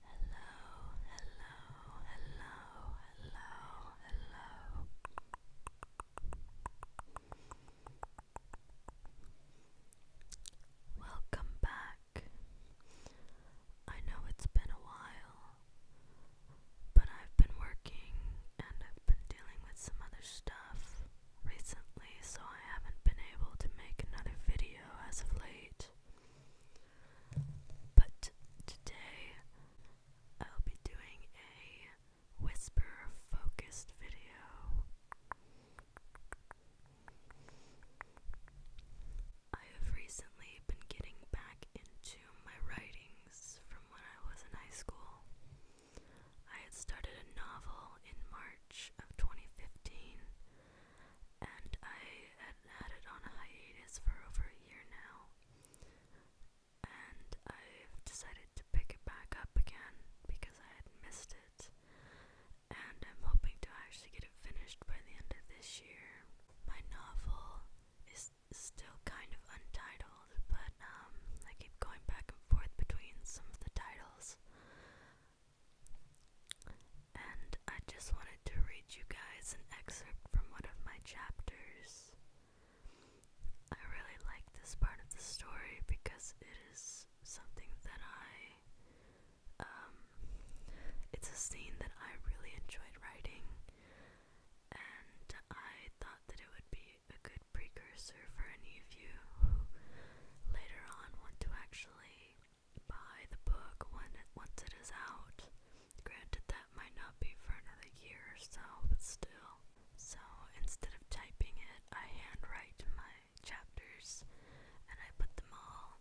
Hello, hello, hello, hello, hello. Welcome back. I know it's been a while, but I've been working and I've been dealing with some other stuff recently, so I haven't been able to make another video as of late. But today I'll be doing a whisper focused video. I have recently been getting back into my writings from when I was in high school. I had started a novel in March of 2015 and I had had it on a hiatus for over a year now. And I've decided to pick it back up again because I had missed it. And I'm hoping to actually get it finished by the end of this year. My novel is still kind of untitled, but um, I keep going back and forth between some of the titles. And I just wanted to read you guys an excerpt from one of my chapters. I really like this part of the story because it is something that I. Um, it's a scene that I really enjoyed writing, and I thought that it would be a good precursor for any of you who later on want to actually buy the book when once it is out. Granted, that might not be for another year or so, but still. So instead of typing it, I handwrite my chapters and I put them all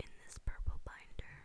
in this purple binder.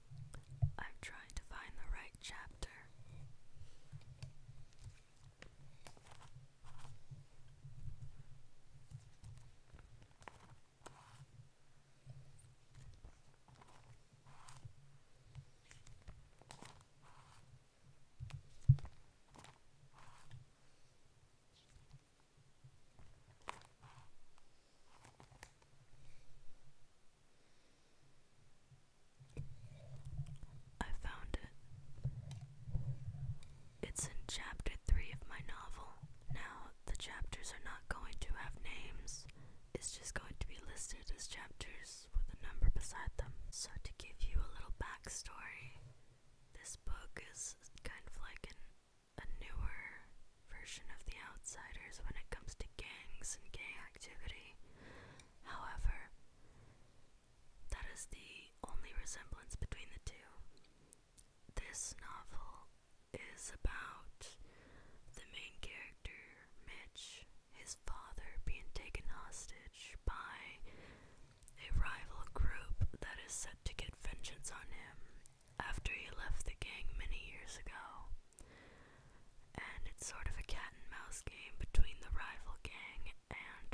I'm trying to find the right chapter. I found it. It's in chapter 3 of my novel. Now, the chapters are not going to have names, it's just going to be listed as chapters with a number beside them. So, to give you a little backstory, this book is kind of like an, a newer version of the outsiders when it comes to gangs and gang activity. However, that is the only resemblance between the two. This novel is about the main character, Mitch, his father being taken hostage by a rival group that is set to get vengeance on him after he left the gang many years ago. And it's sort of a cat and mouse game between the rival gang and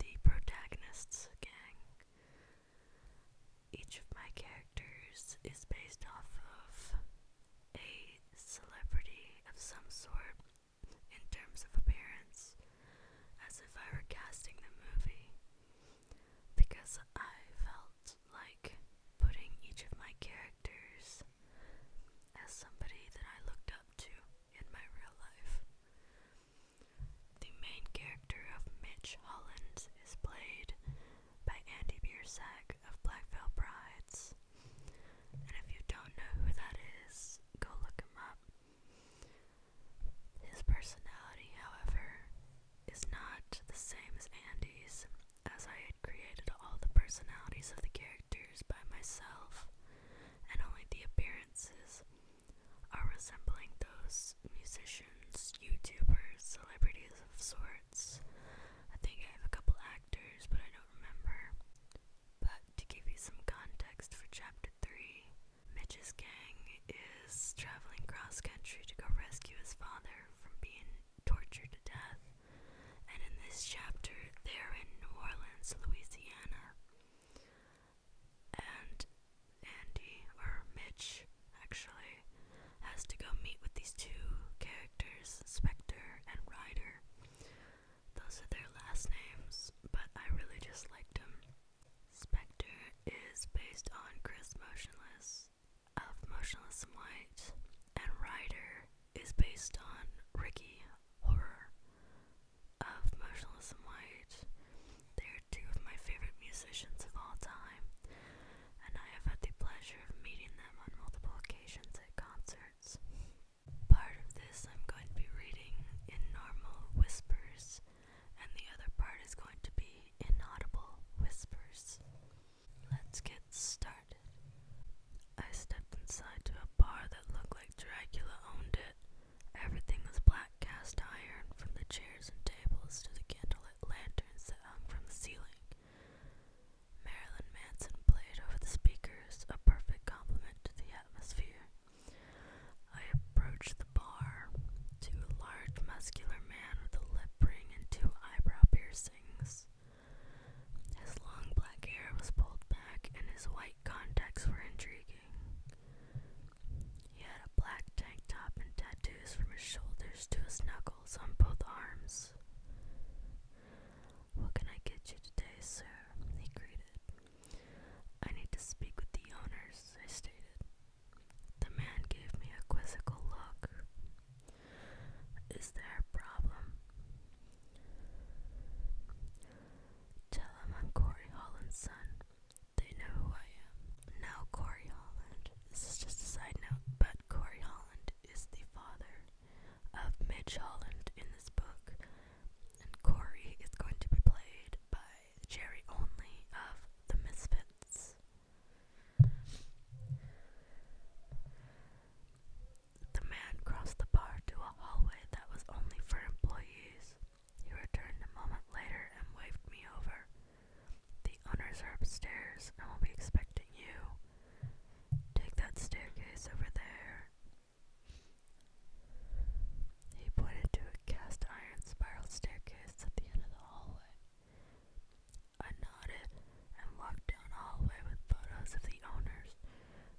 the protagonist's gang. Each of my characters is based off of a celebrity of some sort in terms of appearance, as if I were casting the movie, because I felt like putting each of my characters as somebody that I looked up to in my real life. The main character of Mitch Hollins is played by Andy Biersack of Black Veil Brides. And if you don't know who that is, go look him up. His personality, however, is not the same as Andy's, as I had created all the personalities of the characters by myself, and only the appearances are resembling those musicians, YouTubers, celebrities of sorts. I think I have a couple actors, but I don't remember. But to give you some context for chapter 3, Mitch's gang is traveling cross country to go rescue his father from being tortured to death. And in this chapter, they're in New Orleans, Louisiana. And Andy, or Mitch, actually, has to go meet with these two characters, Spectre and Ryder. Those are their last names, but I really just liked them. Spectre is based on Chris Motionless, of Motionless in White and Ryder is based on Ricky Horror of Motionless in White. They are two of my favorite musicians of all time, and I have had the pleasure of meeting them on multiple occasions at concerts. Part of this I'm going to be reading in normal whispers, and the other part is going to be inaudible whispers. Let's get started. I stepped inside to a bar that looked like Dracula owned it. Everything was black cast iron, from the chairs and tables to the candlelit lanterns that hung from the ceiling. Marilyn Manson played over the speakers, a perfect complement to the atmosphere. I approached the bar to a large muscular man with a lip ring and two eyebrow piercings. His long black hair was pulled back and his white contacts were intriguing. He had a black tank top and tattoos from his shoulders to his knuckles on both arms. What can I get you today, sir? he greeted. I need to speak with the owners, I stated. The man gave me a quizzical look. Is there a problem? Tell him I'm Corey Holland's son. They know who I am. Now, Corey Holland, this is just a side note, but Corey Holland is the father of Midge Holland in this book, and Corey is going to be played by Jerry Only of The Misfits. The man crossed the bar to a hallway that was only for employees. He returned a moment later and waved me over. The owners are upstairs and will be expecting you. Take that staircase over there. He pointed to a cast iron spiral staircase at the end of the hallway. I nodded and walked down a hallway with photos of the owners,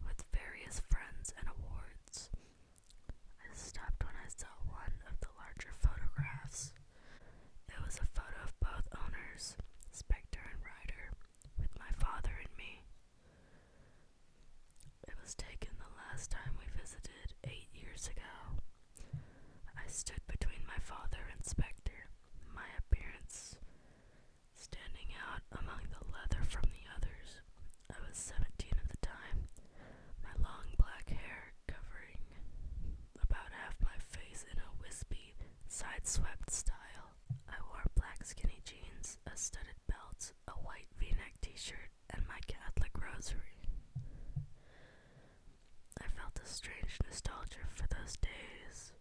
with various friends and awards. I stopped when I saw one of the larger photographs. It was a photo of both owners, Spectre and Ryder, with my father and me. It was taken the last time we visited eight years ago. I stood between my father and Spectre, my appearance standing out among the leather from the others. I was seventeen at the time, my long black hair covering about half my face in a wispy, side swept style. I wore black skinny jeans, a studded belt, a white v neck t shirt, and my Catholic rosary. I felt a strange nostalgia for those days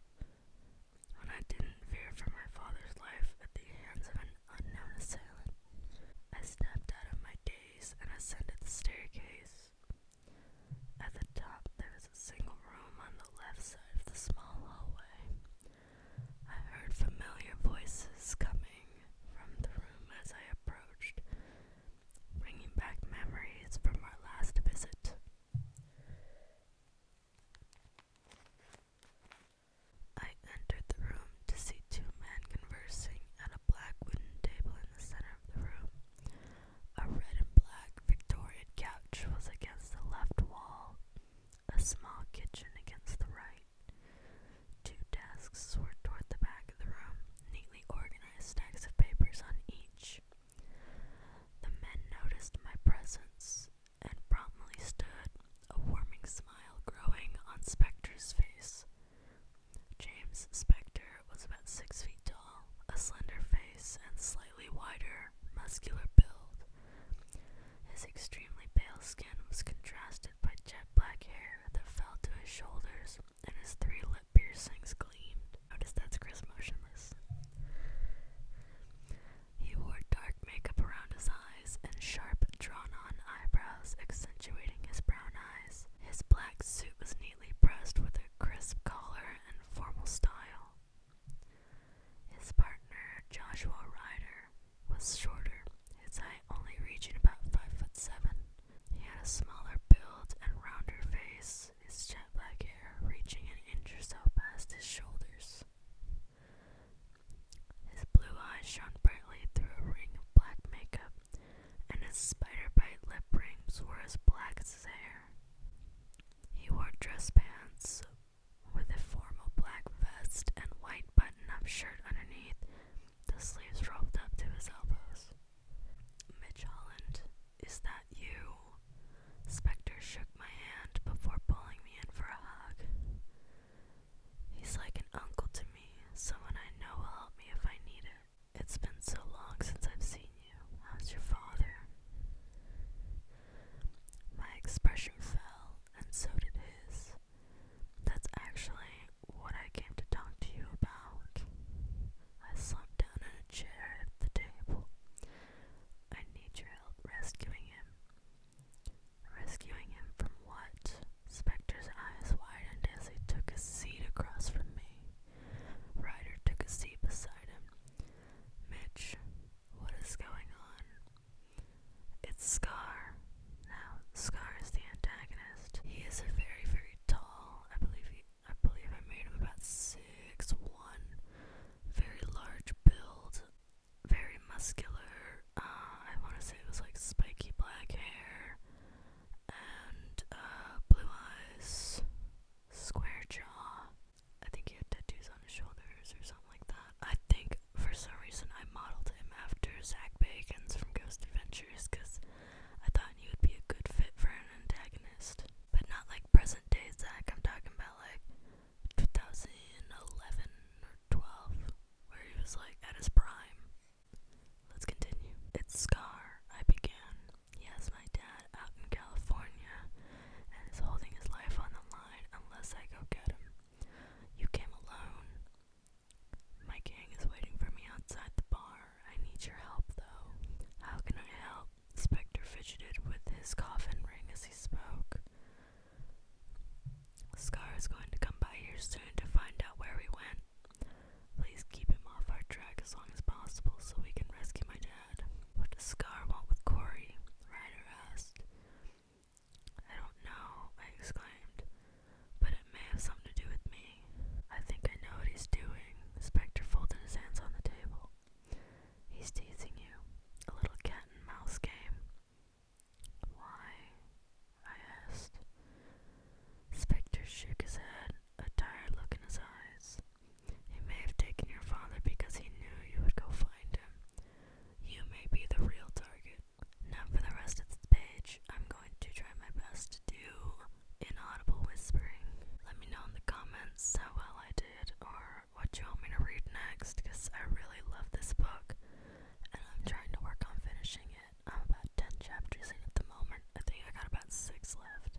when I didn't fear for my father's life at the hands of an unknown assailant. I snapped out of my daze and ascended the staircase. At the top, there was a single room on the left side of the small hallway. I heard familiar voices coming from the room as I approached, bringing back memories from our last visit. I entered the room to see two men conversing at a black wooden table in the center of the room. A red and black Victorian couch was against the left wall, a small kitchen against the right. Two desks were toward the back of the room, neatly organized stacks of papers on each. The men noticed my presence and promptly stood, a warming smile growing on Spectre's face. James Spectre was about six feet tall, a slender face, and slightly wider, muscular build. His extremely pale skin was contrasted by jet black hair that fell to his shoulders and his three lip piercings gleamed. Notice that's Chris motionless. He wore dark makeup around his eyes and sharp, drawn on eyebrows, accentuating his brown eyes. His black suit was neatly pressed with a crisp collar and formal style. His partner, Joshua Ryder, was shorter, his height only reaching about five foot seven. He had a smaller build and rounder face, his jet black hair reaching an inch or so past his shoulders. His blue eyes shone brightly through a ring of black makeup, and his spider bite lip rings were as black as his hair. He wore dress pants with a formal black vest and white button up shirt underneath, the sleeves dropped up to his elbows. Mitch Holland, is that you? Spectre shook my hand before pulling me in for a hug. He's like an uncle to me, someone I know will help me if I need it. It's been so long since I've seen you. How's your father? My expression fell, and so did his. That's actually what I came to talk to you about. I slumped down in a chair at the table. I need your help rescuing him. Rescuing him from what? Spectre's eyes widened as he took a seat across from me. Ryder took a seat beside him. Mitch, what is going on? It's Scar. Now, Scar is the antagonist. He is a very, very tall. I believe he, I believe I made him about six one. Very large build, very muscular. Uh, I want to say it was like spiky black hair and uh, blue eyes, square jaw. I think he had tattoos on his shoulders or something like that. I think for some reason I modeled him after Zach Bagans from Ghost Adventures adventures because I thought you would be a good fit for an antagonist. But not like present day Zack, I'm talking about like 2011 or 12, where he was like at his prime. Let's continue. It's Scar, I began. Yes, my dad out in California and he's holding his life on the line unless I go get him. You came alone. My gang is waiting for me outside the bar. I need your help, though. How can I help? Spectre fidgeted with his coffin ring as he spoke. Scar is going to come by here soon to find out where we went. Please keep him off our track as long as possible so we can rescue my dad. What does Scar want with Corey? Ryder asked. I don't know, I exclaimed, but it may have something to do with me. I think I know what he's doing. The spectre folded his hands on the table. He's teasing you. A little cat and mouse game. Why? I asked. Spectre shook his head, a tired look in his eyes. He may have taken your father because he knew you would go find him. You may be the real target. Now for the rest of this page, I'm going to try my best to do inaudible whispering. Let me know in the comments how well I did or what you want me to read next because I really love this book and I'm trying to work on finishing it. I'm about 10 chapters in at the moment. I think I got about 6 left.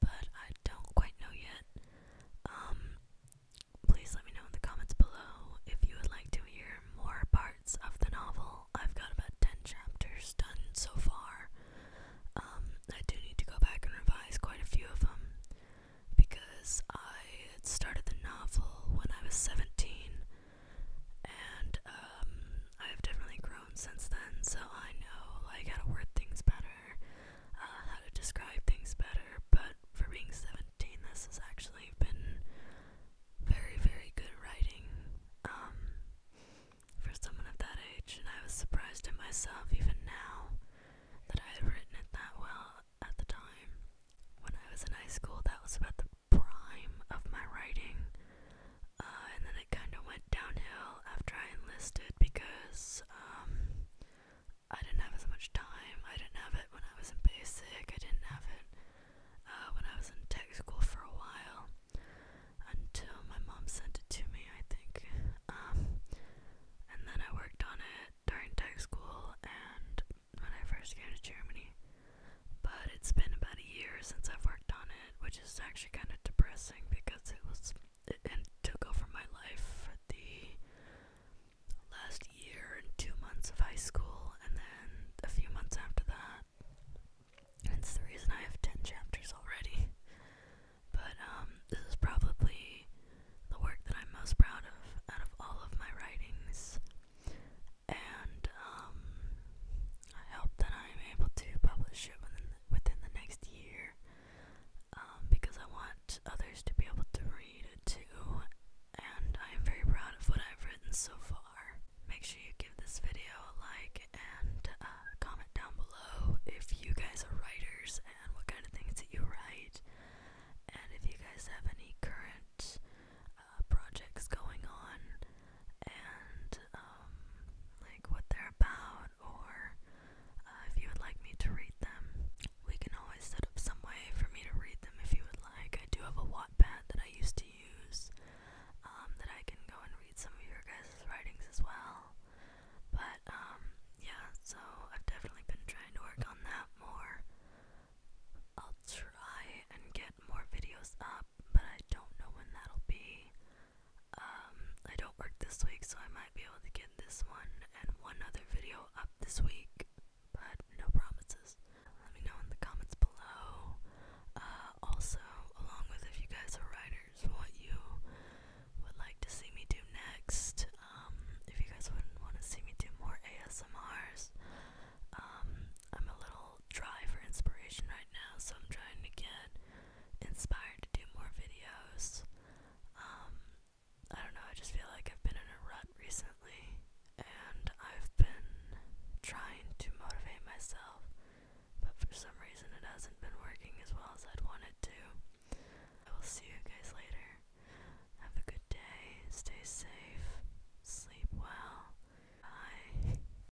but I don't quite know yet. Um, please let me know in the comments below if you would like to hear more parts of the novel. I've got about 10 chapters done so far. Um, I do need to go back and revise quite a few of them because I started the novel when I was 17 and um, I've definitely grown grown since then, so I know like how to word things better, uh, how to describe things better. But for being 17, this has actually been very, very good writing um, for someone of that age, and I was surprised at myself even now that I had written it that well at the time. When I was in high school, that was about the prime of my writing. Uh, and then it kind of went downhill after I enlisted because um, I didn't have as much time. I didn't have it when I was in basic. I didn't have it uh, when I was in tech school for a while until my mom sent it to me, I think. Um, and then I worked on it during tech school and when I first came to Germany. But it's been about a year since I've worked on it which is actually kind of depressing because it was it, took over my life for the last year and two months of high school, and then a few months after that. That's the reason I have 10 chapters already. But um, this is probably the work that I'm most proud of out of all of my writings. And um, I hope that I am able to publish it within the, next year um, because I want others to be able to read it too, and I am very proud of what I've written so far. Make sure you give this video a like and uh, comment down below if you guys are writers and what kind of things that you write, and if you guys have any current uh, projects going on and um, like what they're about, or uh, if you would like me to read them. We can always set up some way for me to read them if you would like. I do have a Wattpad that I used to use um, that I can go and read some of your guys' writings as well. But um, yeah, so I've definitely been trying to work on that more. I'll try and get more videos up but I don't know when that'll be. Um, I don't work this week, so I might be able to get this one and one other video up this week, but no promises. Let me know in the comments below. Uh, also, along with if you guys are writers, what you would like to see me do next. Um, if you guys wouldn't want to see me do more ASMRs, um, I'm a little dry for inspiration right now, so I'm trying to get inspired to do more videos. Um, I don't know, I just feel like I've been in a rut recently, and I've been trying to motivate myself, but for some reason it hasn't been working as well as I'd want it to. I will see you guys later. Have a good day, stay safe, sleep well. Bye.